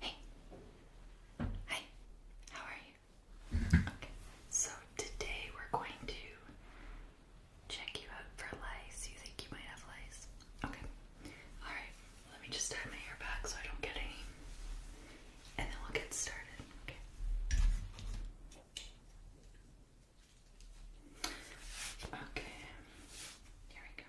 Hey. Hi. How are you? Okay. So today we're going to check you out for lice. You think you might have lice? Okay. Alright. Let me just tie my hair back so I don't get any. And then we'll get started. Okay. Here we go.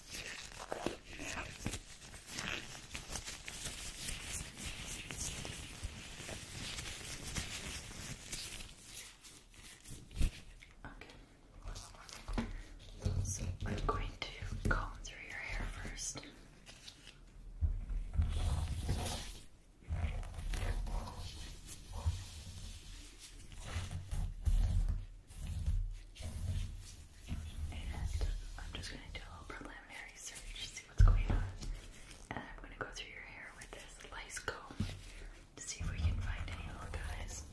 Okay. So I'm going to comb through your hair first. I'm just going to do a little preliminary search, to see what's going on. And I'm going to go through your hair with this lice comb to see if we can find any little guys.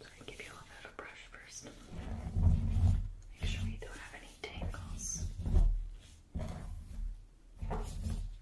So I give you a little bit of a brush first. Make sure we don't have any tangles.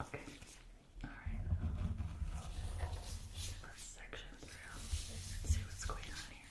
Okay. All right. First section through. Let's see what's going on here.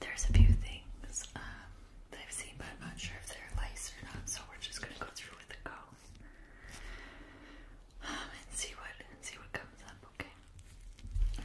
There's a few things um, that I've seen, but I'm not sure if they're lace or not, so we're just gonna go through with the comb um, and see what and see what comes up. Okay.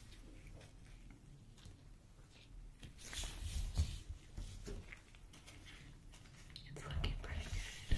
It's looking pretty good.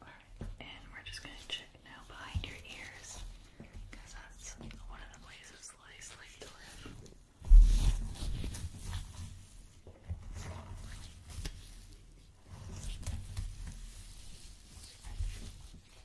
Alright, and we're just going to check now behind your ears because that's one of the places lice like to live.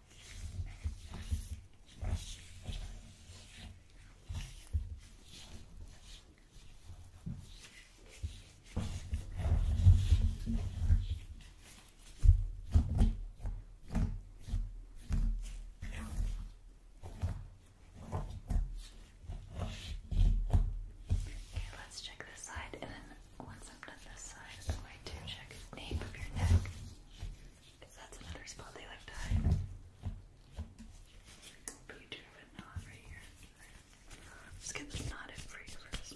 Okay, let's check this side and once I'm done this side, I'm going to check the nape of your neck. that's another spot they like to hide. But you a knot right here. Let's get the knotted for first.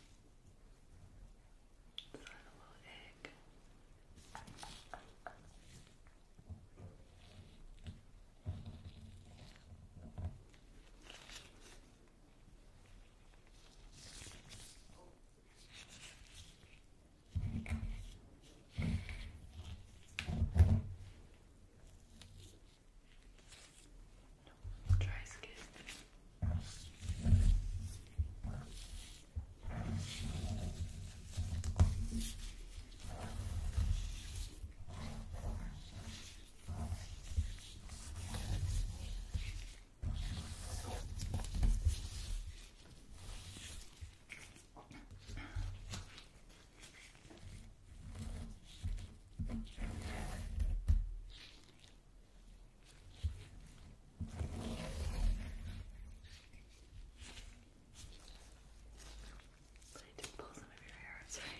Throw in a little egg. No, try skin. Okay. I need to pull some of your hair, I'm sorry.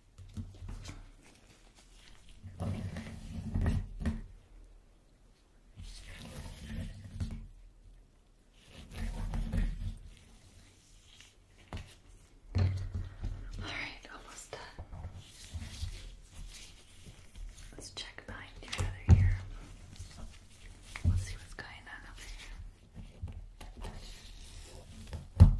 Alright, almost done. Let's check behind each other here. Let's see what's going on over here.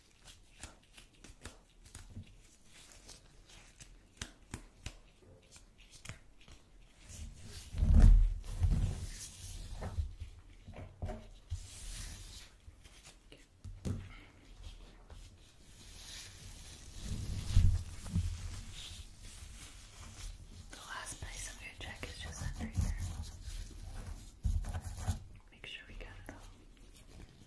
The last place I'm going is just under here. Make sure we got it all.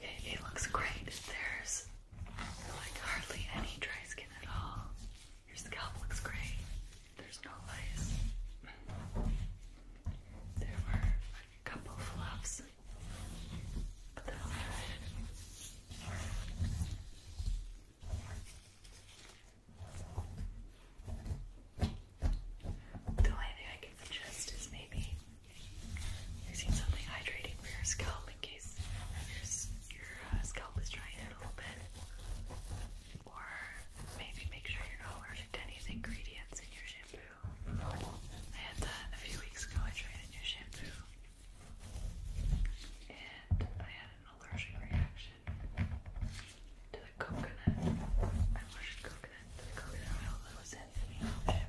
Okay, it looks great. There's like hardly any dry skin at all. Your scalp looks great. There's no lice. There were a couple fluffs, but they're the only thing I can suggest is maybe using something hydrating for your scalp in case your, your uh, scalp is drying out a little bit. Or maybe make sure you're not allergic to any of the ingredients in your shampoo. I had that a few weeks ago. I tried a new shampoo and I had an allergic reaction to the coconut. I washed coconut to the coconut oil that was in the shampoo.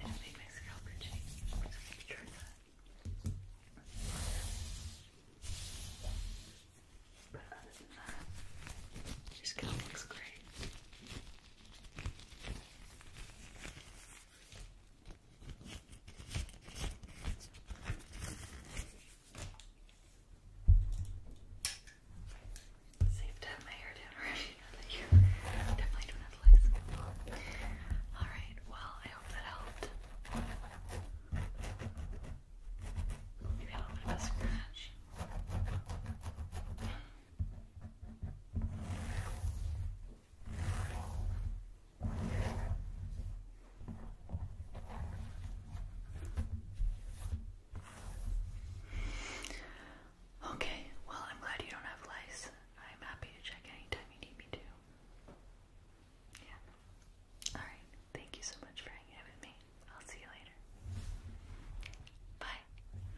It made my scalp itchy. But other than that, your scalp looks great. So you my hair down definitely don't have All right. Well, I hope that helped. Maybe a little bit of a scratch. Okay, well, I'm glad you don't have lice. I'm happy to check anytime you need me to. Yeah. Alright, thank you so much for hanging out with me. I'll see you later. Bye.